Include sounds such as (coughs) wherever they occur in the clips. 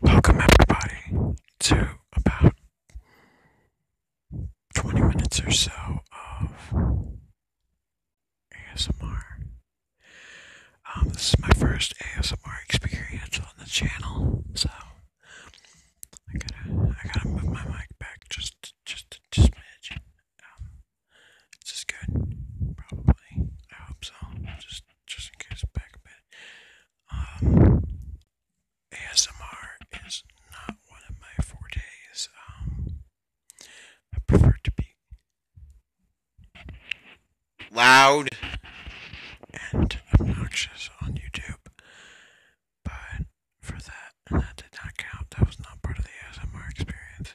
Welcome, everybody, to about 20 minutes or so of ASMR. Um, this is my first ASMR experience on the channel, so I gotta, I gotta move my mic back just, just, just a um, is just good? Probably. I hope so. Just just in case back a bit. Um, ASMR is not one of my fortes. Um, I prefer to be loud and obnoxious on YouTube. But for that, that did not count. That was not part of the ASMR experience.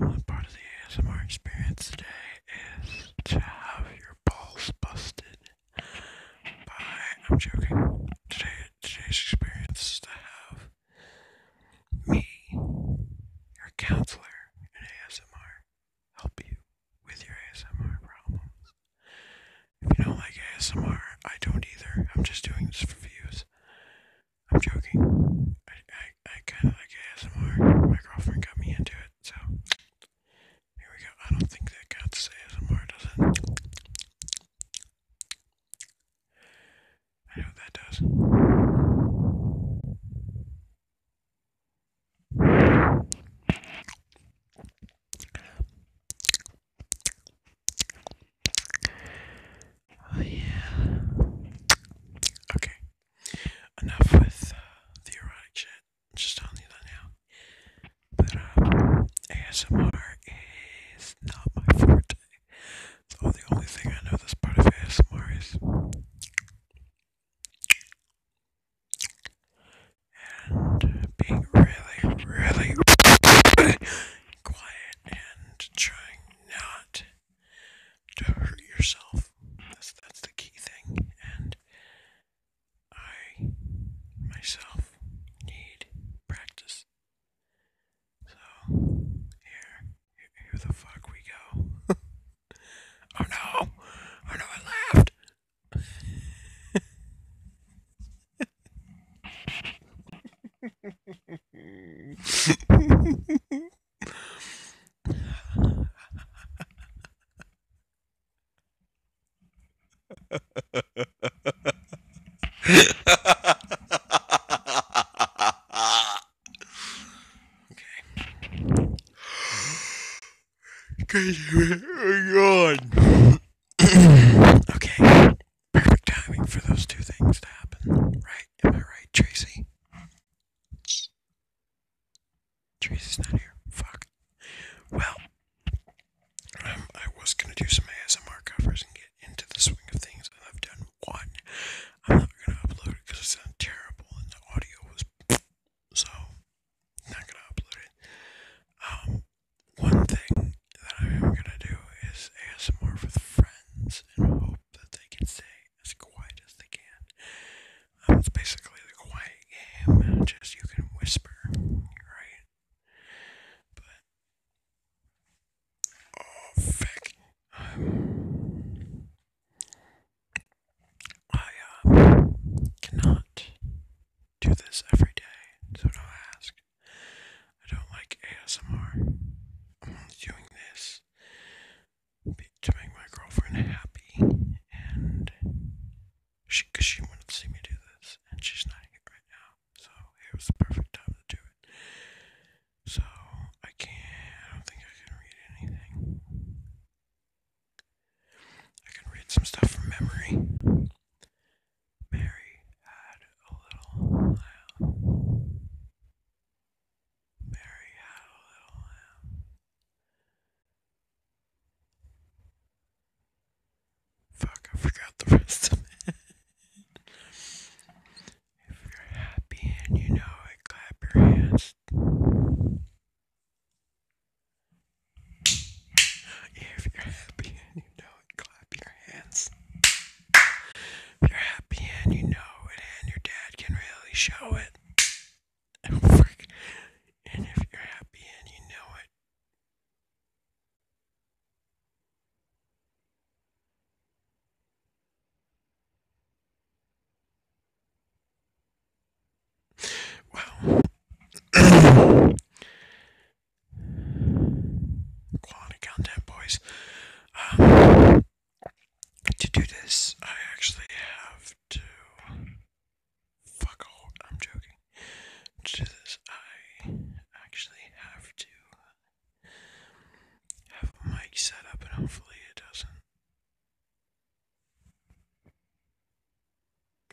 Um, part of the ASMR experience today is to have your balls busted by, I'm joking, today, today's experience is to have me, your counselor in ASMR, help you with your ASMR problems. If you don't like ASMR, I don't either. I'm just doing this for views. I'm joking. I kind of like ASMR. My girlfriend got me into it, so here we go. I don't think that counts ASMR, does it? I know that does. Oh, yeah. Okay, enough with uh, the erotic shit. just telling you that now. But uh, um, ASMR is not my forte. So the only thing I know this part of ASMR is. And being really, really (laughs) quiet and trying not to hurt yourself. That's the key thing. And I myself need practice. So here, here the fuck we go. (laughs) oh no! Oh no! I laughed. (laughs) (laughs) okay. Cause oh God. okay. Perfect timing for those two things to happen. Right? Am I right, Tracy? Tracy's not here. Fuck. Well, um, I was gonna do some ASMR covers and get into the swing of things, and I've done one. I'm not gonna upload it because it sounded terrible and the audio was (sniffs) so not gonna upload it. Um, one thing that I am gonna do is ASMR with friends and hope that they can say as quiet as they can. Um, it's basically the quiet game, just you can whisper, right? But, oh, fuck. Um, I um, cannot do this every day, so don't ask. I don't like ASMR. I'm only doing this to make my girlfriend happy, and she, cause she wanted to see me do this, and she's not here right now, so it was the perfect time to do it. So I can't. I don't think I can read anything. I can read some stuff from memory. Mary had a little lamb. Uh, Mary had a little lamb. Um, Fuck, I forgot the (laughs) rest of it. if you're happy and you know it, clap your hands. If you're happy and you know it, clap your hands. If you're happy and you know it, and your dad can really show it. (laughs) And if you're happy and you know it, well, quality (clears throat) content, boys. Um, to do this, I actually have to. Fuck all, I'm joking. To do this, I actually have to have a mic set up, and hopefully it doesn't.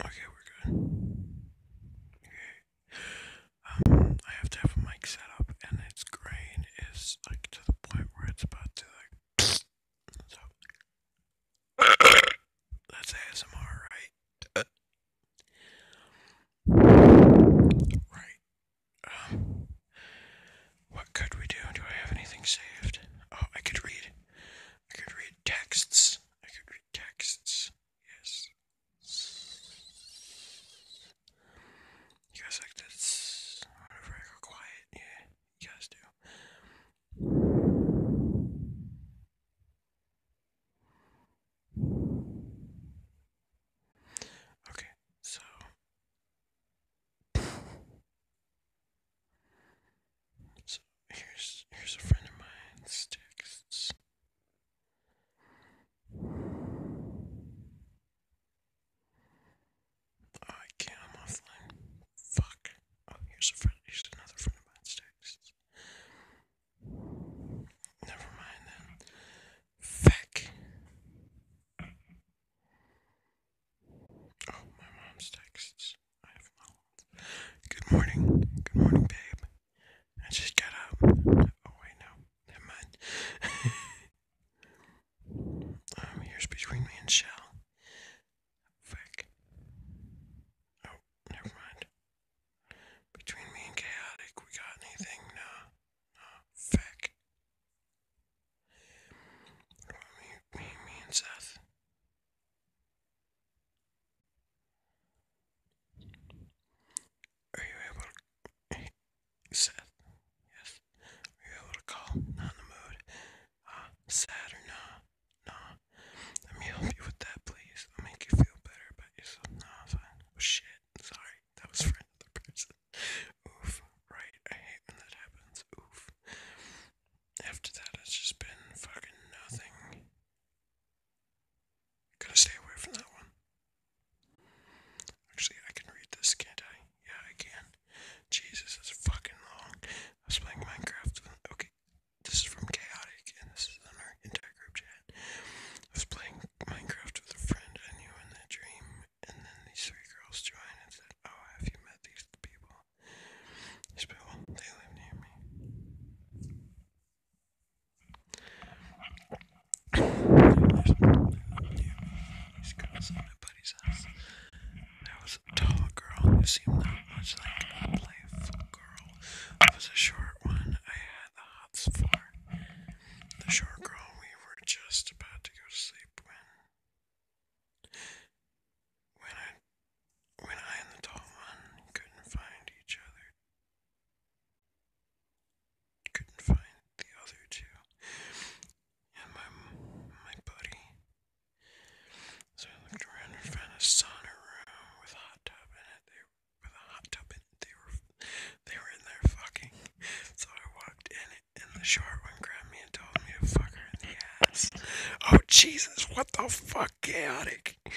Okay, we're good. Okay. Um, I have to have a mic set up, and its grain is like to the point where it's about (sniffs) (coughs) that's ASMR, right? Right. Um, what could we do? Do I have anything saved? Oh, I could read. I could read texts. I could read texts. Yes. You guys like this? Whenever I go quiet, yeah, you guys do. Okay, so. So here's here's a friend of mine's texts. I can't. I'm Fuck. Oh, here's a friend. Here's another friend text. Never mind then. Feck. Oh, my mom's texts. Good morning. Good morning, babe. I just got up. Oh wait, no. Never mind. (laughs) Um, here's between me and Shell. Frick. Oh, never mind. Between me and Chaotic, we got anything? No. No. Frick. Me, me and Seth. Are you able Seth? Yes. Are you able to call? Not in the mood. Uh, sad or nah? Nah. Let me help you with that, please. I'll make you feel better about yourself. Nah, fine. Oh, shit. Sorry. That was for another person. Oof. Right. I hate when that happens. Oof. After that, it's just been fucking nothing. Gotta stay away from that one. Actually, I can read this, can't I? Yeah, I can. Jesus, is fucking long. I was playing Minecraft. Okay, this is from Chaotic, and this is on our entire group chat. I was playing Minecraft with a friend I knew in that dream, and then these three girls joined and said, Oh, have you met these people? These people, they live near me. There was a tall girl who seemed not much like a playful girl. There was a short one I had the hots for. The short girl, we were just about to go to sleep when, when I, when I and the tall one couldn't find each other couldn't find the other two. And my my buddy. So I looked around and found a sauna room with a hot tub in it. with a hot tub in it. They were they were in there fucking. So I walked in it and the short one grabbed me and told me to fuck her in the Oh Jesus, what the fuck chaotic (clears throat)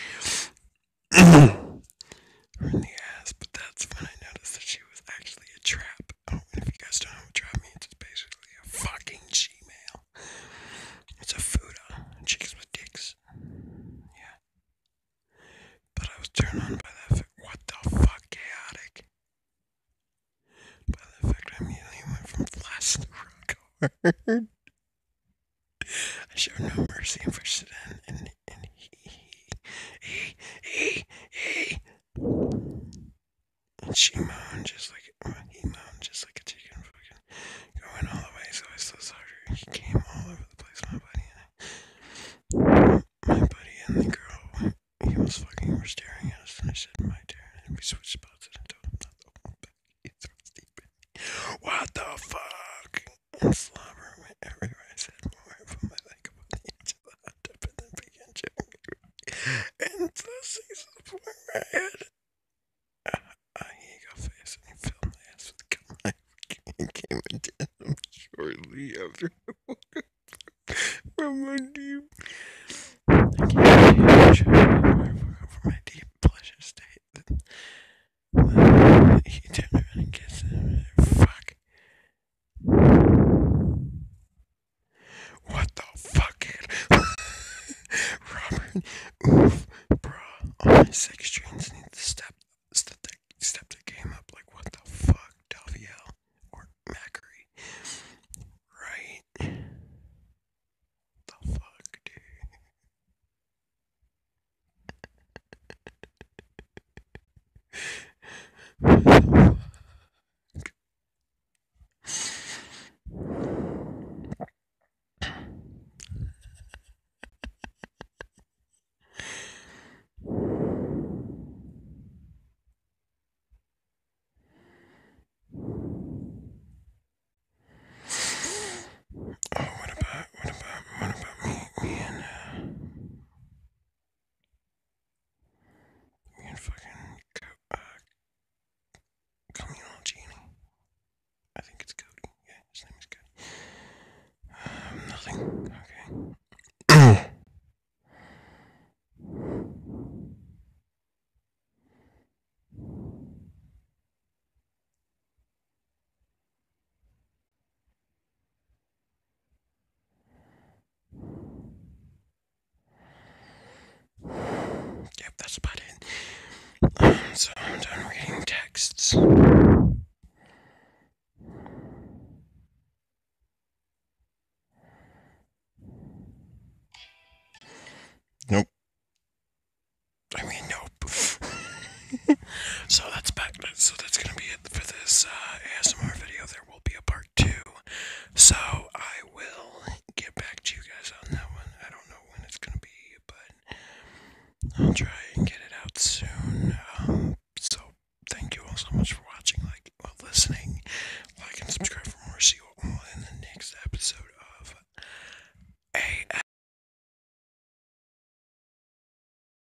her in the ass, but that's when I noticed that she was actually a trap. Oh, if you guys don't know what trap means, it's basically a fucking Gmail. It's a Fuda. Chicks with dicks. Yeah. But I was turned on by that fact. What the fuck, chaotic? By the fact, I am immediately one from flash to rock I show no mercy for pushed and, and he he, ee, and she moaned just like well, he moaned just like a chicken fucking going all the way, so I still He came all over the place, my buddy my buddy and the girl he was fucking were staring at us and I said my turn and we switched spots and I told him not to What the fuck? And slobber went everywhere. I said more from my leg above the edge and those he's are pouring my head. Uh, uh, he face and he fell my ass with a gun knife came and him shortly after from my deep. I can't see from my deep pleasure state. he turned around and kissed him. Fuck. What the fucking (laughs) Robert? Oof, bruh. All my six strings need to step step step the game up. Like what the fuck, Daviel or Macri? Right? The fuck, dude. Oh, what about, what about, what about me, me and, uh, you mean fucking co- uh, communal genie? I think it's Cody. Yeah, his name is Cody. Um, nothing. Okay. Yep, that's about it. so I'm done reading texts. Nope. I mean, nope. (laughs) so that's back. So that's gonna be it for this uh, ASMR video. There will be a part two, so I will get back to you guys on that one. I don't know when it's gonna be, but I'll try and get it out soon. Um, so thank you all so much for watching, like, listening, like, and subscribe for more. See you all in the next episode of ASMR.